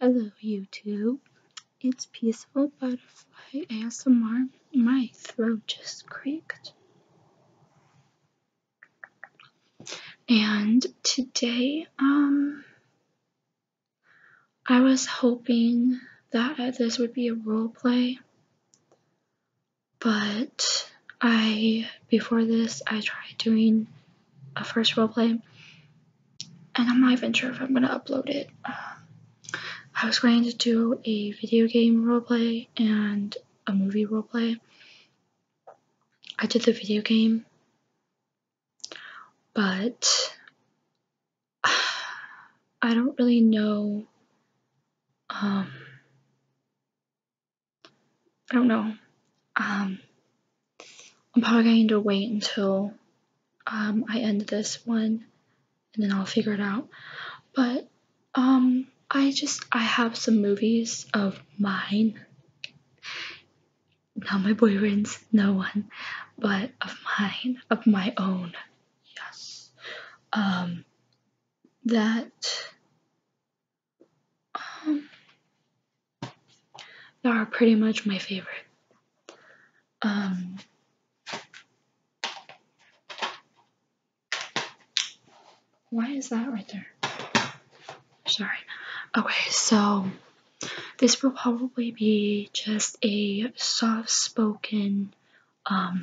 Hello YouTube, it's Peaceful Butterfly ASMR. My throat just creaked. And today, um, I was hoping that this would be a role play, but I, before this, I tried doing a first roleplay, and I'm not even sure if I'm gonna upload it. Um, I was going to do a video game roleplay and a movie roleplay. I did the video game, but I don't really know um, I don't know. Um, I'm probably going to wait until um, I end this one and then I'll figure it out. But um, I just, I have some movies of mine. Not my boyfriend's, no one, but of mine, of my own. Yes. Um, that um, they are pretty much my favorite. Um, why is that right there? Sorry. Okay, so this will probably be just a soft spoken um,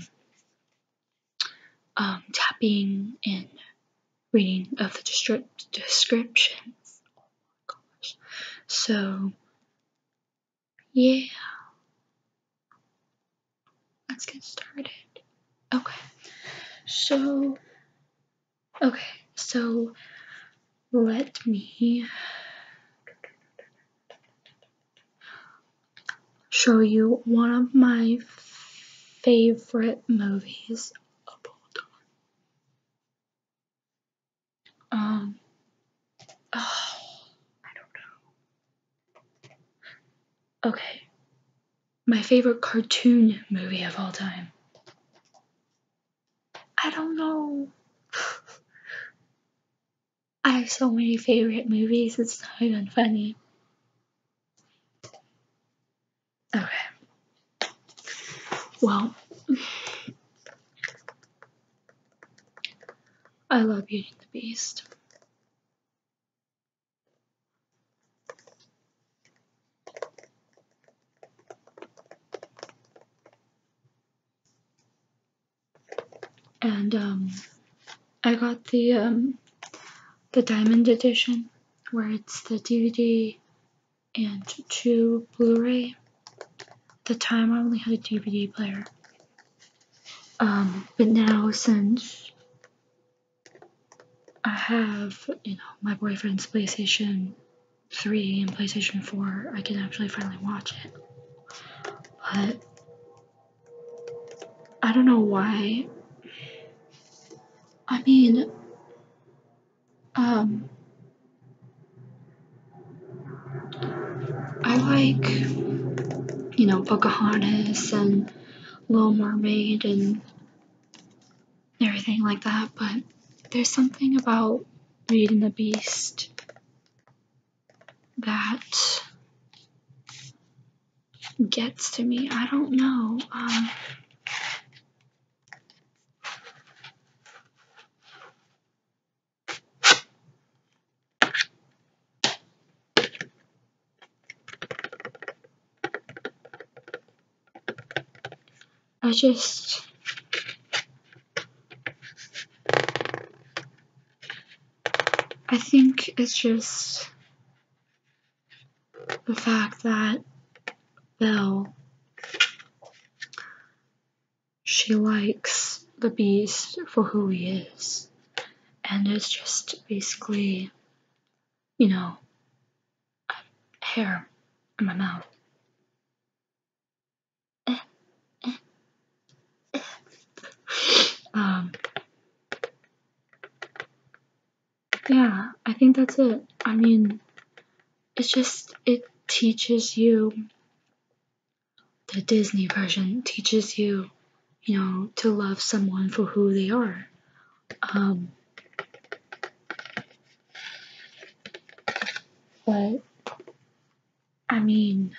um, tapping in reading of the descript- descriptions. Oh my gosh. So, yeah. Let's get started. Okay. So, okay. So, let me show you one of my favorite movies um. Oh, I don't know. Okay. My favorite cartoon movie of all time. I don't know. I have so many favorite movies, it's not even funny. Okay. Well, I love Beauty and the Beast. And um, I got the um, the diamond edition where it's the DVD and two Blu-ray. At the time, I only had a DVD player. Um, but now since I have, you know, my boyfriend's PlayStation 3 and PlayStation 4, I can actually finally watch it. But I don't know why. I mean, um, I like, you know, Pocahontas and Little Mermaid and everything like that, but there's something about reading the Beast that gets to me. I don't know. Um, I just I think it's just the fact that Bill she likes the beast for who he is. And it's just basically, you know, hair in my mouth. um, yeah, I think that's it. I mean, it's just, it teaches you, the Disney version teaches you, you know, to love someone for who they are. Um, but, I mean,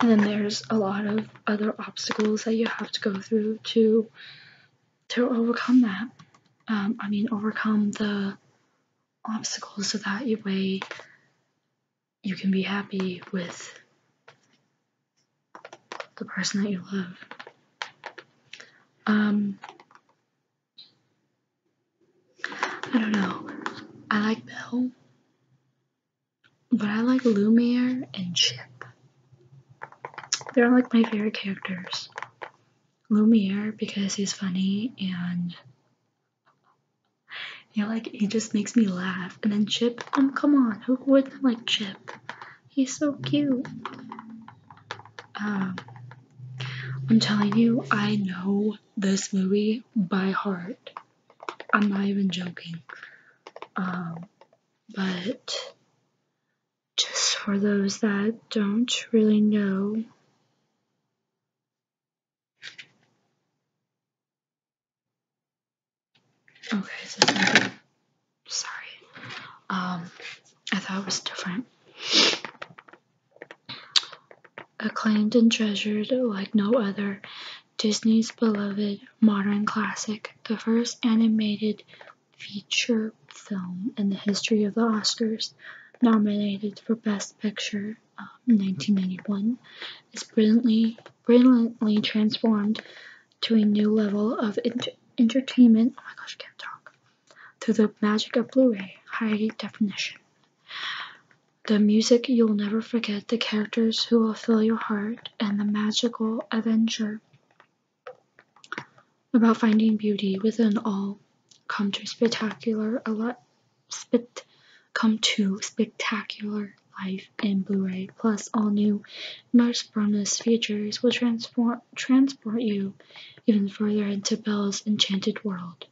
and then there's a lot of other obstacles that you have to go through to to overcome that um, i mean overcome the obstacles so that you way you can be happy with the person that you love um i don't know i like bill but I like Lumiere and Chip. They're like my favorite characters. Lumiere because he's funny and you know, like he just makes me laugh. And then Chip, um, come on, who wouldn't like Chip? He's so cute. Um, I'm telling you, I know this movie by heart. I'm not even joking. Um, but just for those that don't really know, okay, sorry, um, I thought it was different. Acclaimed and treasured like no other, Disney's beloved modern classic, the first animated feature film in the history of the Oscars, nominated for Best Picture uh, um, 1991, is brilliantly, brilliantly transformed to a new level of entertainment. Oh my gosh, I can't talk. Through the magic of Blu ray, high definition. The music You'll never forget the characters who will fill your heart and the magical adventure about finding beauty within all come to spectacular a spit come to spectacular life in Blu-ray plus all new much bonus features will transform transport you even further into Belle's enchanted world.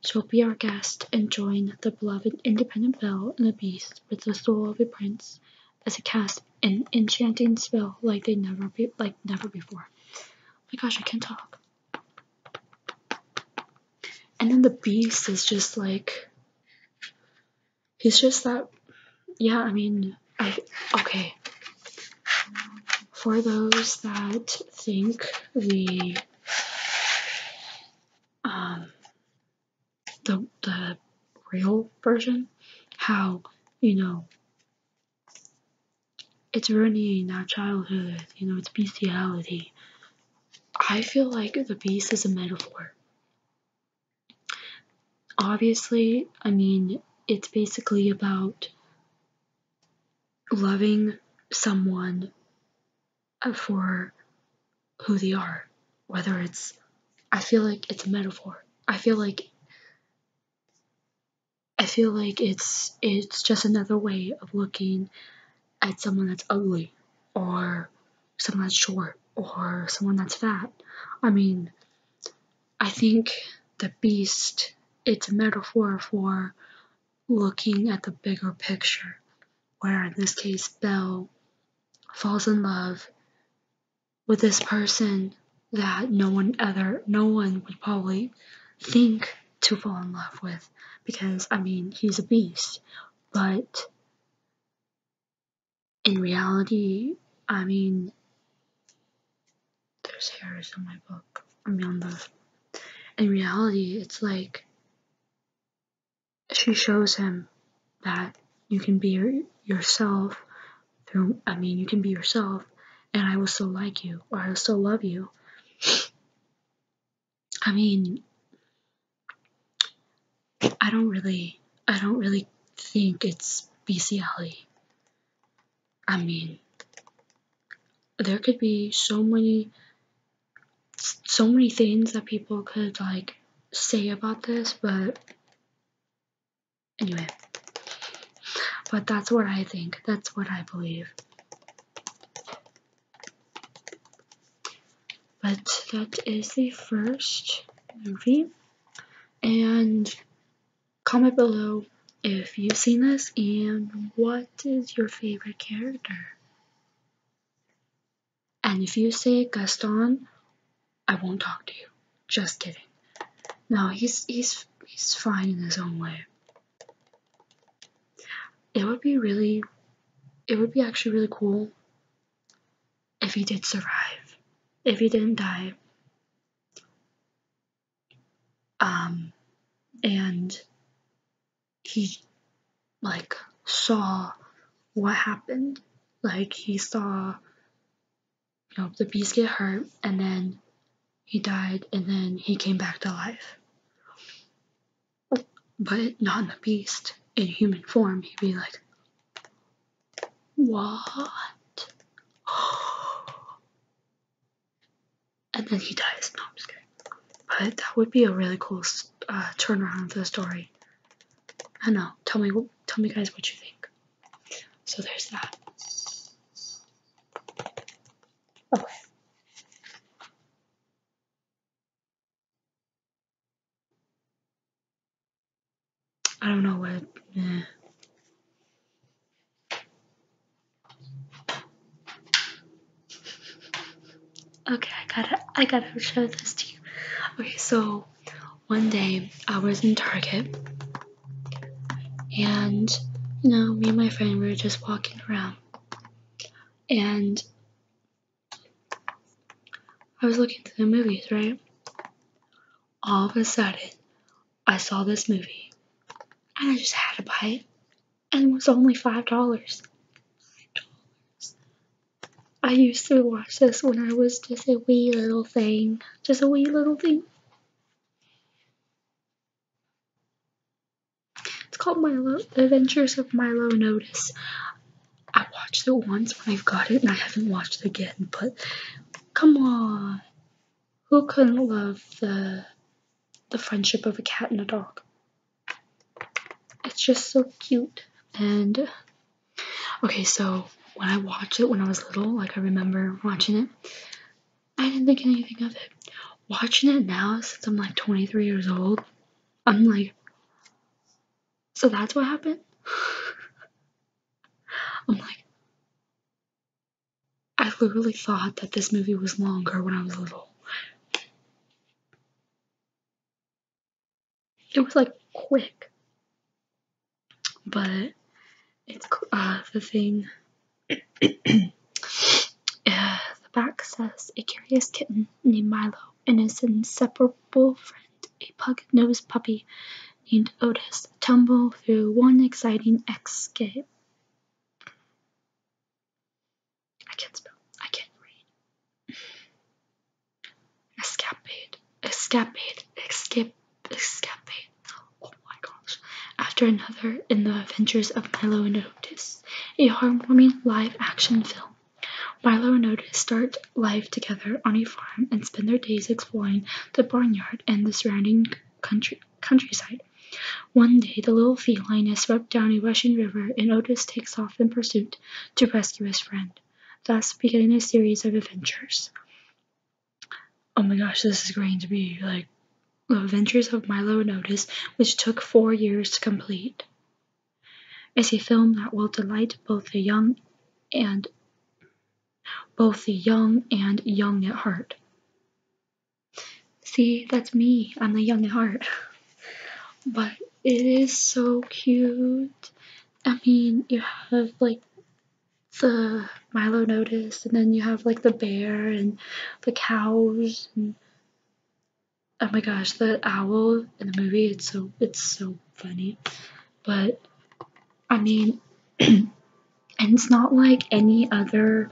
So be our guest and join the beloved independent Belle and the Beast sex with the soul of a prince as it casts an enchanting spell like they never like never before. Oh my gosh, I can't talk. And then the beast is just like he's just that yeah, I mean I okay. For those that think the the the real version, how you know it's ruining our childhood, you know, it's bestiality. I feel like the beast is a metaphor. Obviously, I mean, it's basically about loving someone uh, for who they are. Whether it's, I feel like it's a metaphor. I feel like, I feel like it's it's just another way of looking at someone that's ugly, or someone that's short, or someone that's fat. I mean, I think the beast. It's a metaphor for looking at the bigger picture, where in this case, Belle falls in love with this person that no one other, no one would probably think to fall in love with because, I mean, he's a beast. But in reality, I mean, there's hairs on my book. I mean, on the. In reality, it's like she shows him that you can be yourself through, I mean, you can be yourself and I will still like you or I will still love you. I mean, I don't really, I don't really think it's bestiality. I mean, there could be so many so many things that people could like say about this, but anyway. But that's what I think. That's what I believe. But that is the first movie. And comment below if you've seen this and what is your favorite character. And if you say Gaston, I won't talk to you. Just kidding. No, he's he's he's fine in his own way. It would be really it would be actually really cool if he did survive. If he didn't die. Um and he like saw what happened. Like he saw you know the beast get hurt and then he died and then he came back to life. But not in the beast. In human form, he'd be like, What? and then he dies. No, I'm scared. But that would be a really cool uh, turnaround for the story. I don't know. Tell me, tell me guys what you think. So there's that. Okay. I don't know what. Okay, I gotta, I gotta show this to you. Okay, so one day I was in Target, and you know, me and my friend were just walking around, and I was looking through the movies, right? All of a sudden, I saw this movie, and I just had to buy it, and it was only five dollars. I used to watch this when I was just a wee little thing. Just a wee little thing. It's called Milo The Adventures of Milo Notice. I watched it once when I've got it and I haven't watched it again, but come on. Who couldn't love the the friendship of a cat and a dog? it's just so cute and okay so when i watched it when i was little like i remember watching it i didn't think anything of it watching it now since i'm like 23 years old i'm like so that's what happened i'm like i literally thought that this movie was longer when i was little it was like quick but it's uh, the thing the back says a curious kitten named milo and his inseparable friend a pug-nosed puppy named otis tumble through one exciting escape I can't spell. I can't read. Escapade. Escapade. Escape. Escapade. Oh my gosh. After another in the adventures of Milo and Otis, a heartwarming live action film. Milo and Otis start life together on a farm and spend their days exploring the barnyard and the surrounding countryside. One day, the little feline is swept down a rushing river, and Otis takes off in pursuit, to rescue his friend, thus beginning a series of adventures. Oh my gosh, this is going to be like The Adventures of Milo and Otis, which took four years to complete. It's a film that will delight both the young and both the young and young at heart. See, that's me. I'm the young at heart. But it is so cute. I mean, you have like the Milo Notice, and then you have like the bear and the cows, and oh my gosh, the owl in the movie. It's so it's so funny, but I mean, and it's not like any other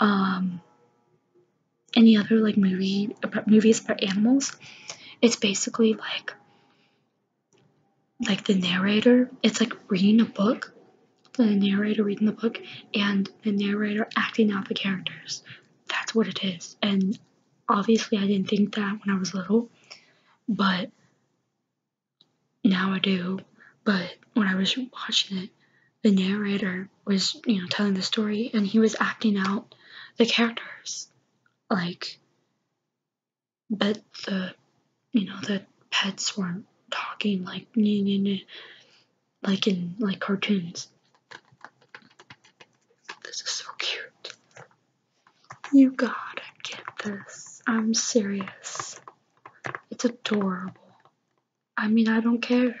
um any other like movie movies about animals. It's basically like like the narrator. It's like reading a book, the narrator reading the book, and the narrator acting out the characters. That's what it is. And obviously, I didn't think that when I was little, but now I do. But when I was watching it, the narrator was, you know, telling the story and he was acting out the characters. Like, but the, you know, the pets weren't talking like, nah, like in, like cartoons. This is so cute. You gotta get this. I'm serious. It's adorable. I mean, I don't care.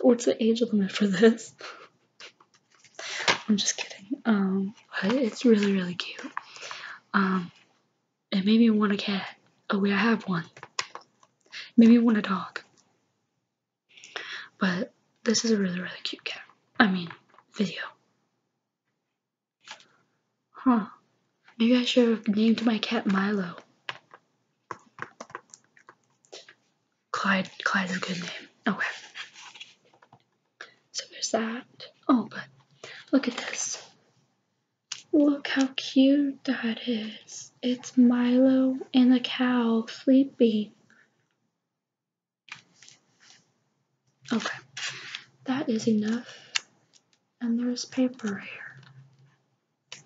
What's the age limit for this? I'm just kidding. Um, but it's really, really cute. Um, it made me want a cat. Oh wait, I have one. It made me want a dog. But this is a really, really cute cat. I mean, video. Huh. Maybe I should have named my cat Milo. Clyde. Clyde's a good name. Okay. So there's that. Oh, but look at this. Look how cute that is. It's Milo and a cow sleeping. Okay, that is enough. And there's paper here.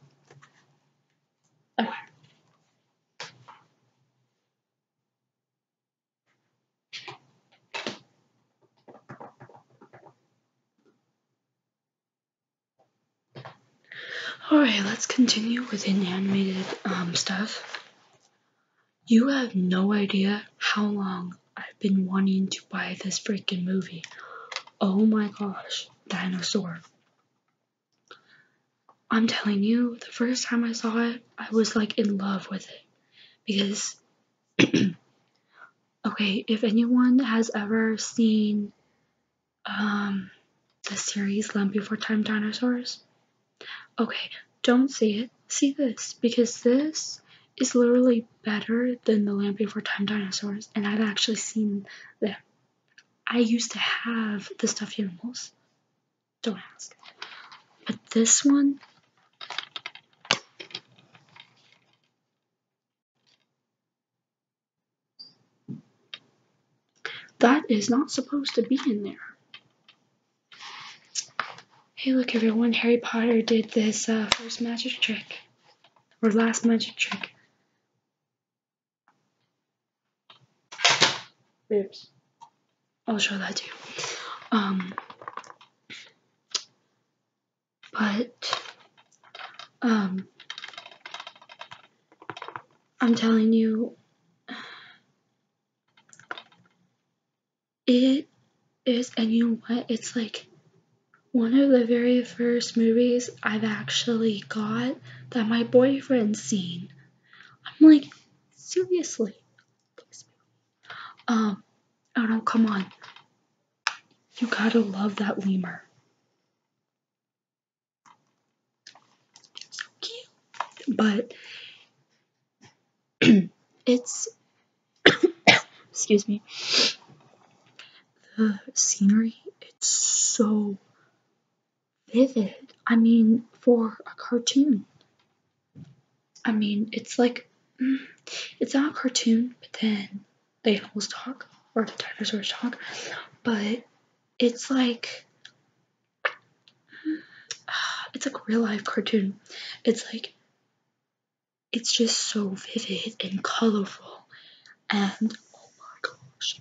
Alright, let's continue with an animated um, stuff. You have no idea how long I've been wanting to buy this freaking movie. Oh my gosh, Dinosaur. I'm telling you, the first time I saw it, I was like in love with it because okay, if anyone has ever seen um the series *Lamp Before Time Dinosaurs, okay, don't see it. See this because this is literally better than the *Lamp Before Time Dinosaurs, and I've actually seen them. I used to have the stuffed animals. Don't ask. But this one. That is not supposed to be in there. Hey, look, everyone. Harry Potter did this uh, first magic trick, or last magic trick. Oops. I'll show that to you. Um, but, um, I'm telling you, it is, and you know what? It's like one of the very first movies I've actually got that my boyfriend's seen. I'm like, seriously. Um, oh no, come on. You gotta love that lemur. So cute. But it's excuse me. The scenery, it's so vivid. I mean, for a cartoon. I mean, it's like mm, it's not a cartoon, but then the animals talk or the dinosaurs talk, but it's like it's like real life cartoon. It's like it's just so vivid and colorful and oh my gosh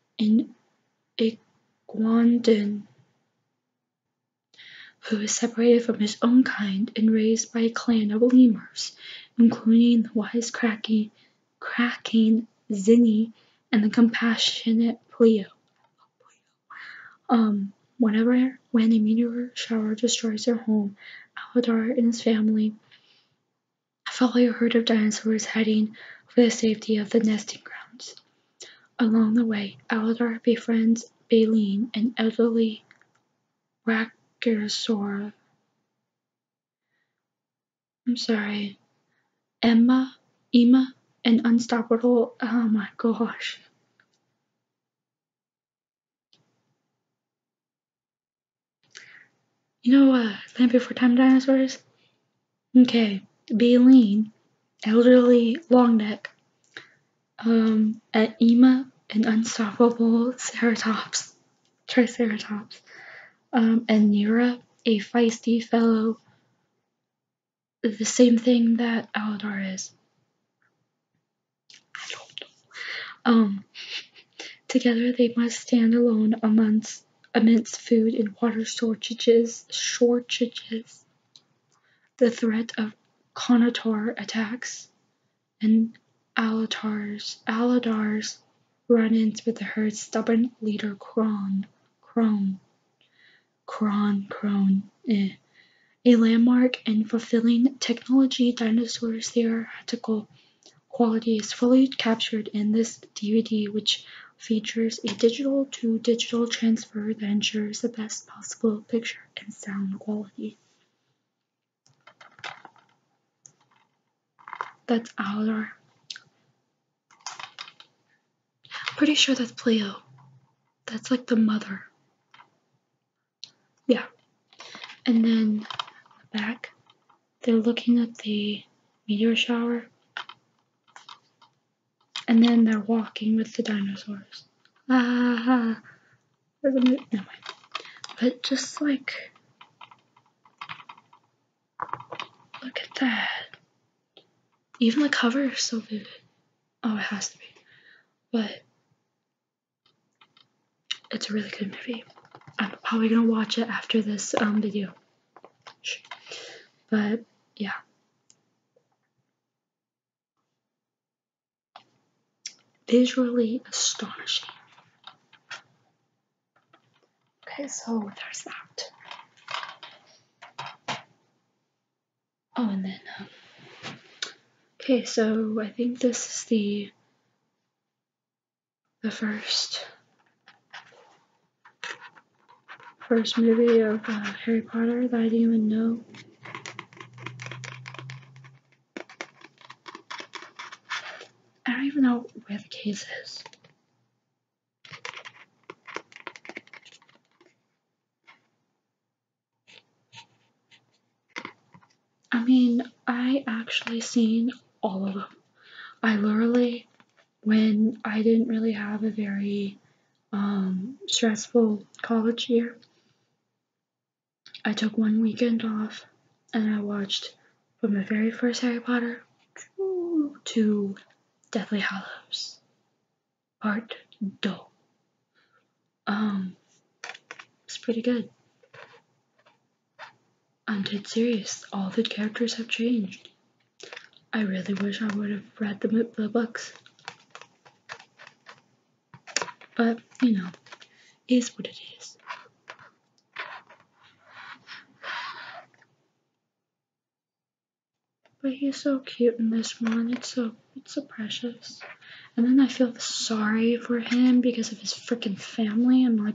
in Iguanodon, who is separated from his own kind and raised by a clan of lemurs, including the wisecracking cracking Zinni and the compassionate Plio. Um, whenever when a meteor shower destroys their home, Aladar and his family follow a herd of dinosaurs heading for the safety of the nesting grounds. Along the way, Aldar befriends Baleen, an elderly brachiosaur. I'm sorry, Emma, Emma, an unstoppable. Oh my gosh. You know, uh, Land Before Time dinosaurs? Okay, baleen, elderly long neck, um, an ema, an unstoppable ceratops, triceratops, um, and Nira, a feisty fellow, the same thing that Aladar is. I don't know. Um, Together they must stand alone amidst immense food and water shortages. shortages. The threat of Conatar attacks and Aladar's, Aladar's run-ins with the herd's stubborn leader Kron, Kron, Kron, Kron, eh. A landmark in fulfilling technology dinosaurs theoretical quality is fully captured in this DVD, which features a digital to digital transfer that ensures the best possible picture and sound quality. That's Aladar. Pretty sure that's Pleo. That's like the mother. Yeah. And then back they're looking at the meteor shower. And then they're walking with the dinosaurs. Ah, there's a mo- never But just like, look at that. Even the cover is so vivid. Oh, it has to be. But it's a really good movie. I'm probably gonna watch it after this um, video. But yeah. Visually astonishing. Okay, so there's that. Oh, and then, um, okay, so I think this is the the first first movie of uh, Harry Potter that I didn't even know. I don't even know where the case is. I mean, I actually seen all of them. I literally, when I didn't really have a very um, stressful college year, I took one weekend off and I watched from the very first Harry Potter to Deathly Hallows Part Two. Um, it's pretty good. I'm dead serious. All the characters have changed. I really wish I would have read the, books. But, you know, is what it is. But he's so cute in this one. It's so it's so precious. And then I feel sorry for him because of his freaking family. I'm like,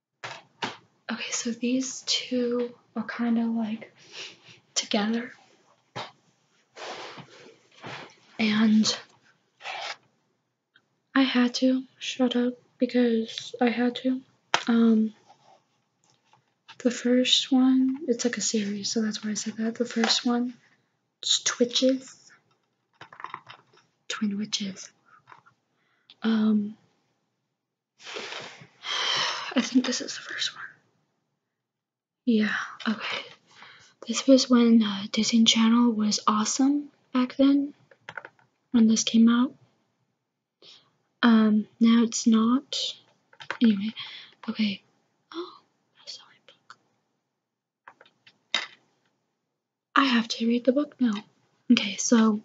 Okay, so these two are kind of like together. And I had to shut up because I had to. Um, the first one, it's like a series, so that's why I said that. The first one, Twitches. Twin Witches. Um, I think this is the first one. Yeah, okay. This was when Disney Channel was awesome back then, when this came out. Um, now it's not. Anyway, okay. Oh, I have to read the book now. Okay, so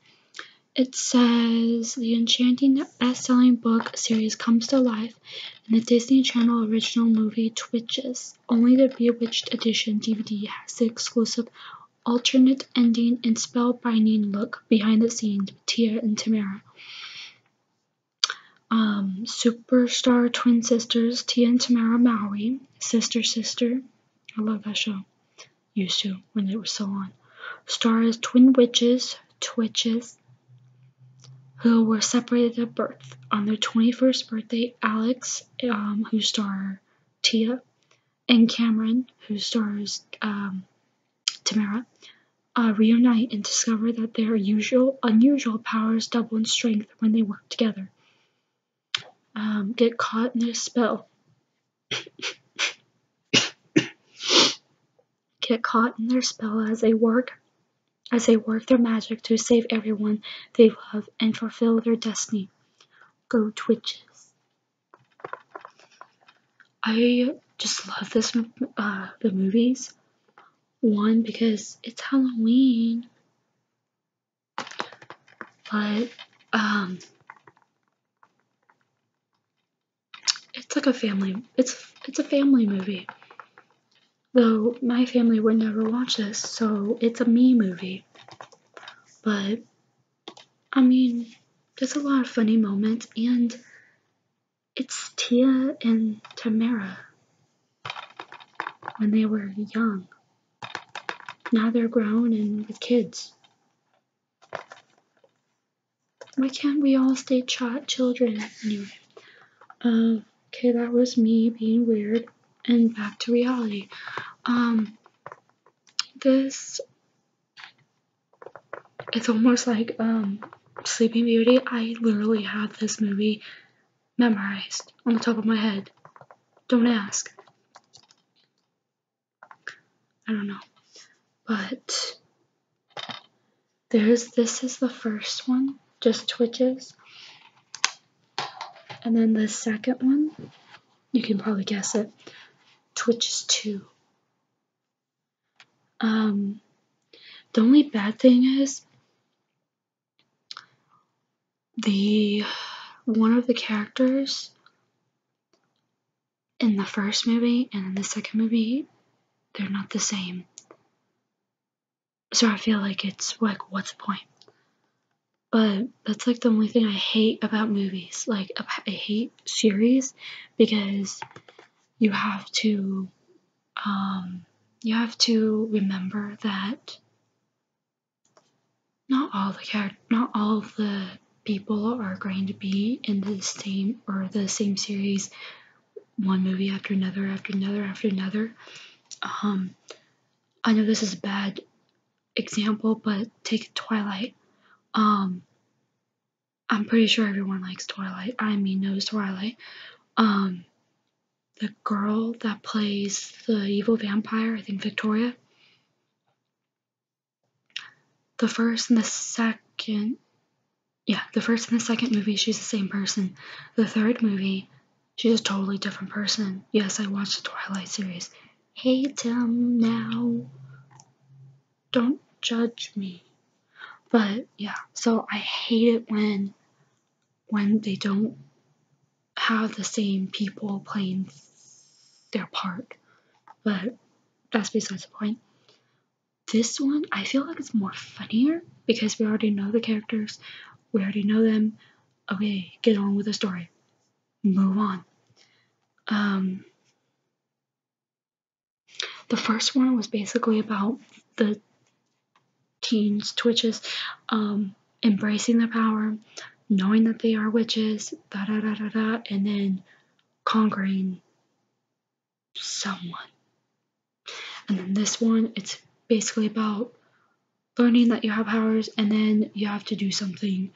it says the enchanting best-selling book series comes to life in the Disney Channel original movie Twitches. Only the Bewitched Edition DVD has the exclusive alternate ending and spellbinding look behind the scenes with Tia and Tamara. Um, superstar twin sisters Tia and Tamara Maui, Sister Sister. I love that show used to when they were still on, stars twin witches, twitches, who were separated at birth. On their 21st birthday, Alex, um, who stars Tia, and Cameron, who stars um, Tamara, uh, reunite and discover that their usual unusual powers double in strength when they work together. Um, get caught in their spell. get caught in their spell as they work as they work their magic to save everyone they love and fulfill their destiny. Go witches! I just love this uh, the movies. One because it's Halloween, but um, it's like a family. It's it's a family movie. Though my family would never watch this, so it's a me movie. But I mean, there's a lot of funny moments, and it's Tia and Tamara when they were young. Now they're grown and with kids. Why can't we all stay ch- children? Anyway, um, okay, that was me being weird and back to reality. Um, this it's almost like um Sleeping Beauty. I literally have this movie memorized on the top of my head. Don't ask. I don't know. But there's this is the first one, just twitches. And then the second one, you can probably guess it, twitches too. Um, the only bad thing is the one of the characters in the first movie and in the second movie, they're not the same. So I feel like it's like, what's the point? But that's like the only thing I hate about movies. Like, I hate series because you have to, um, you have to remember that not all the not all the people are going to be in the same or the same series, one movie after another after another after another. Um, I know this is a bad example, but take Twilight. Um, I'm pretty sure everyone likes Twilight. I mean, knows Twilight. Um, the girl that plays the evil vampire, I think Victoria the first and the second yeah, the first and the second movie, she's the same person. The third movie, she's a totally different person. Yes, I watched the Twilight series. Hate him now. Don't judge me. But yeah, so I hate it when when they don't have the same people playing their part, but that's besides the point. This one, I feel like it's more funnier because we already know the characters, we already know them. Okay, get on with the story. Move on. Um, the first one was basically about the teens, twitches, um, embracing the power, knowing that they are witches, da da da da and then conquering someone. And then this one, it's basically about learning that you have powers and then you have to do something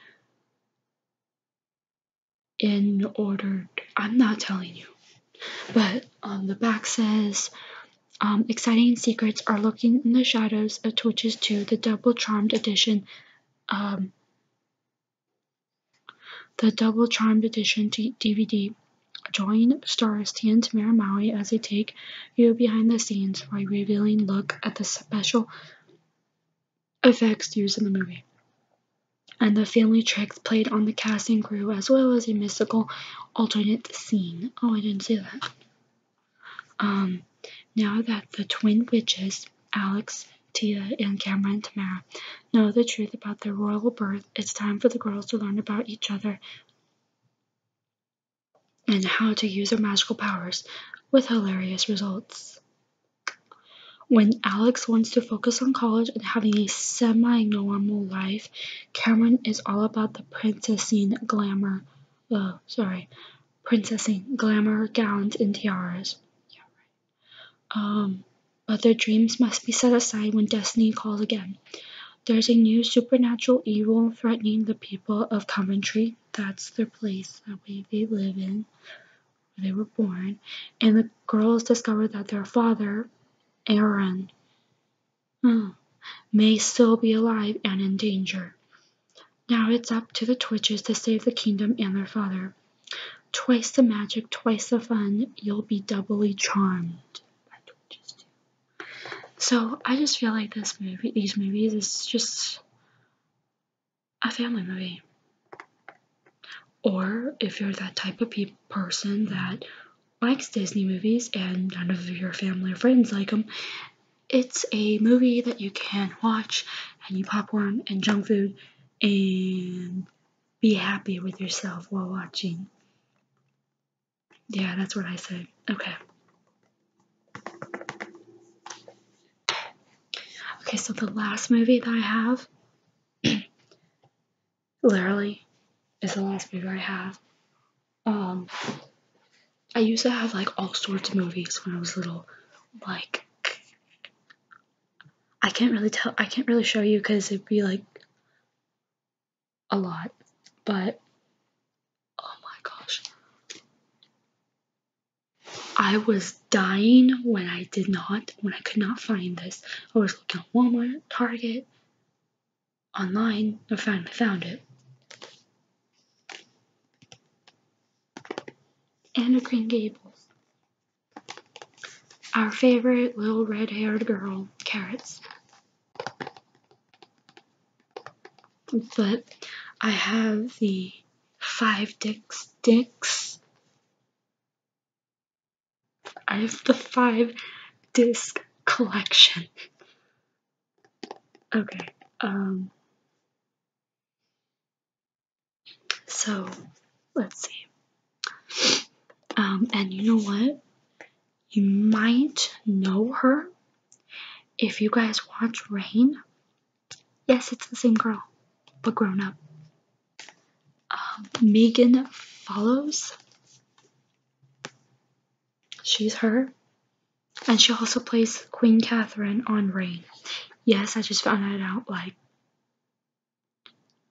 in order. I'm not telling you. But on um, the back says um, exciting secrets are lurking in the shadows of Twitches 2, the double charmed edition um, the Double Charmed Edition DVD. Join stars Tia and Maui as they take you behind the scenes for a revealing look at the special effects used in the movie. And the family tricks played on the casting crew, as well as a mystical alternate scene. Oh, I didn't see that. Um, now that the twin witches, Alex, Tia, and Cameron Tamara, know the truth about their royal birth, it's time for the girls to learn about each other and how to use their magical powers with hilarious results. When Alex wants to focus on college and having a semi normal life, Cameron is all about the princessing glamour. Oh, sorry, princessing glamour gowns and tiaras. Yeah, Um, but their dreams must be set aside when destiny calls again. There's a new supernatural evil threatening the people of Coventry. That's the place that way they live in, where they were born. And the girls discover that their father, Aaron, hmm, may still be alive and in danger. Now it's up to the Twitches to save the kingdom and their father. Twice the magic, twice the fun, you'll be doubly charmed. So I just feel like this movie, these movies, is just a family movie. Or if you're that type of person that likes Disney movies and none of your family or friends like them, it's a movie that you can watch and eat popcorn and junk food and be happy with yourself while watching. Yeah, that's what I say. Okay. Okay, so the last movie that I have, literally, is the last movie I have. Um, I used to have like all sorts of movies when I was little. Like I can't really tell I can't really show you because it'd be like a lot. But oh my gosh. I was dying when I did not, when I could not find this. I was looking on Walmart, Target, online, I finally found it. Anna Green Gables. Our favorite little red haired girl, Carrots. But I have the five Dix Dix. I have the five disc collection. Okay, um so let's see. Um, and you know what? You might know her if you guys watch Rain. Yes, it's the same girl, but grown up. Um, Megan follows. She's her. And she also plays Queen Catherine on Rain. Yes, I just found that out like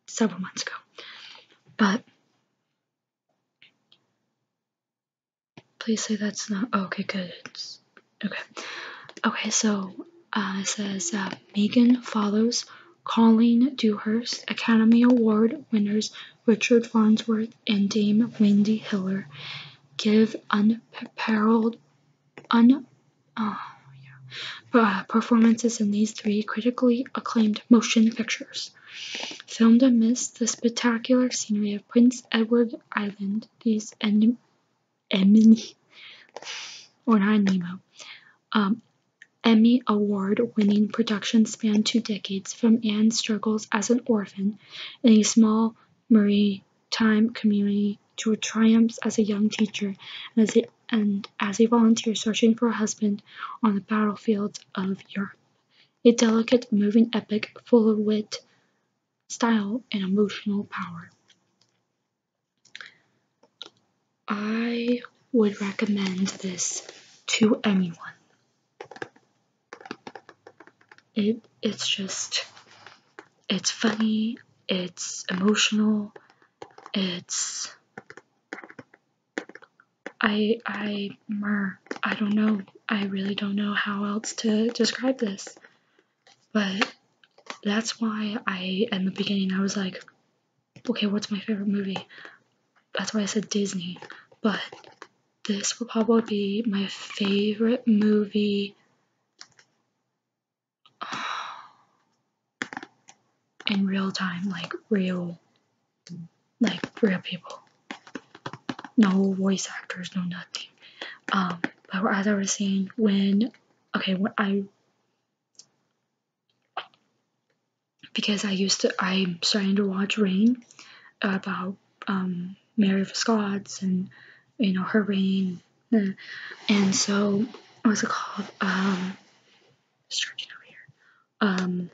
several months ago. But please say that's not oh, okay. Good. okay. Okay. So uh, it says uh, Megan follows Colleen Dewhurst, Academy Award winners Richard Farnsworth and Dame Wendy Hiller give un unparalleled uh, uh, performances in these three critically acclaimed motion pictures. Filmed amidst the spectacular scenery of Prince Edward Island, these anim, Emmy or not Nemo, um, Emmy Award-winning productions span two decades, from Anne's struggles as an orphan in a small maritime community to her triumphs as a young teacher and as a, and as a volunteer searching for a husband on the battlefields of Europe. A delicate, moving epic full of wit, style, and emotional power. I would recommend this to anyone. It it's just it's funny, it's emotional, it's I I mer I don't know. I really don't know how else to describe this. But that's why I in the beginning I was like, okay, what's my favorite movie? That's why I said Disney. But this will probably be my favorite movie in real time, like real, like real people. No voice actors, no nothing. Um, but as I was saying, when okay, when I because I used to, I'm starting to watch Rain about um, Mary of Scots and you know her reign, and so what's it called? Um, over here. Um,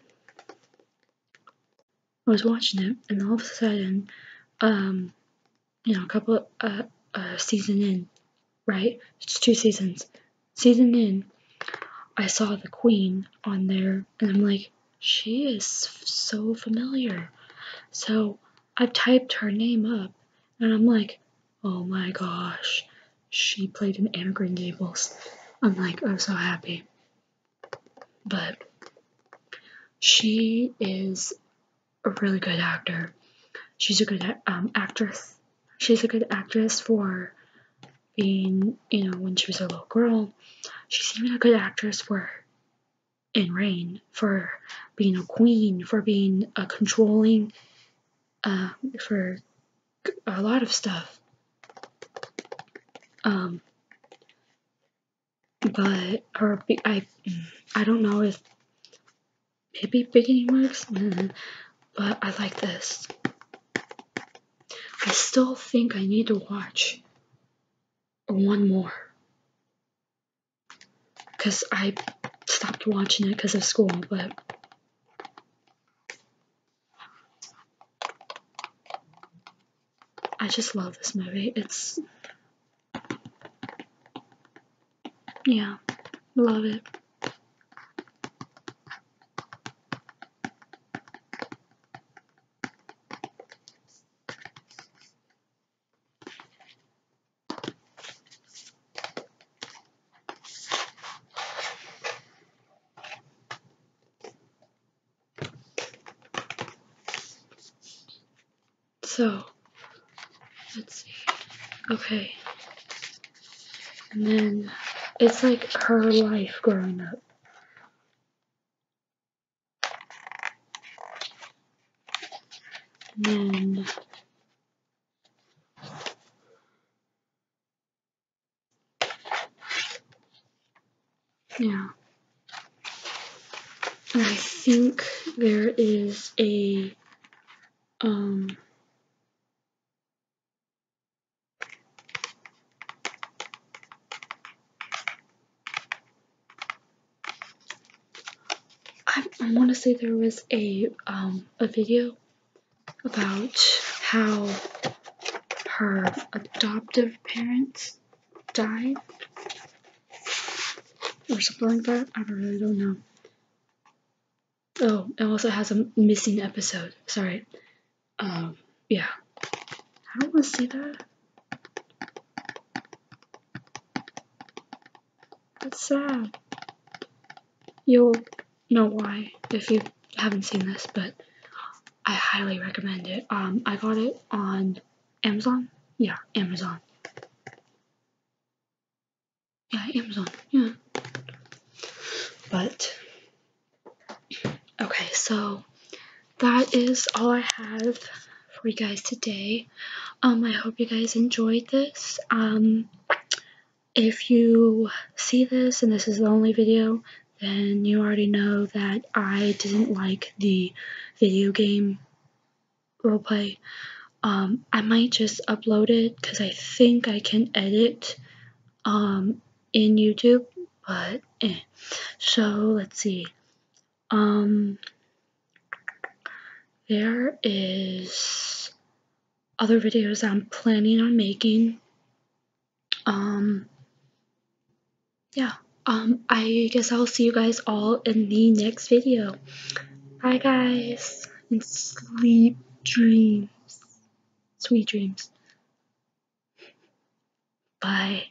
I was watching it, and all of a sudden, um, you know, a couple uh, season in, right? It's two seasons. Season in, I saw the Queen on there, and I'm like, she is so familiar. So i typed her name up and I'm like, oh my gosh, she played in Anna Green Gables. I'm like, I'm so happy. But she is a really good actor. She's a good um, actress. She's a good actress for being, you know, when she was a little girl. She's even a good actress for and reign, for being a queen, for being a uh, controlling, uh, for a lot of stuff. Um, but or I, I don't know if maybe beginning works, mm, but I like this. I still think I need to watch one more because I stopped watching it because of school, but I just love this movie. It's yeah, love it. So, let's see. Okay. And then it's like her life growing up yeah. I think there is a um I, want to say there was a um, a video about how her adoptive parents died or something like that. I really don't know. Oh, it also has a missing episode. Sorry. Um, yeah. I don't want to see that. That's sad. You'll know why if you haven't seen this, but I highly recommend it. Um, I got it on Amazon. Yeah, Amazon. Yeah, Amazon. Yeah. But okay, so that is all I have for you guys today. Um, I hope you guys enjoyed this. Um, if you see this and this is the only video, then you already know that I didn't like the video game roleplay. Um, I might just upload it because I think I can edit um, in YouTube, but eh. So let's see. Um, there is other videos I'm planning on making. Um, yeah, um, I guess I'll see you guys all in the next video. Bye, guys, and sleep dreams, sweet dreams. Bye.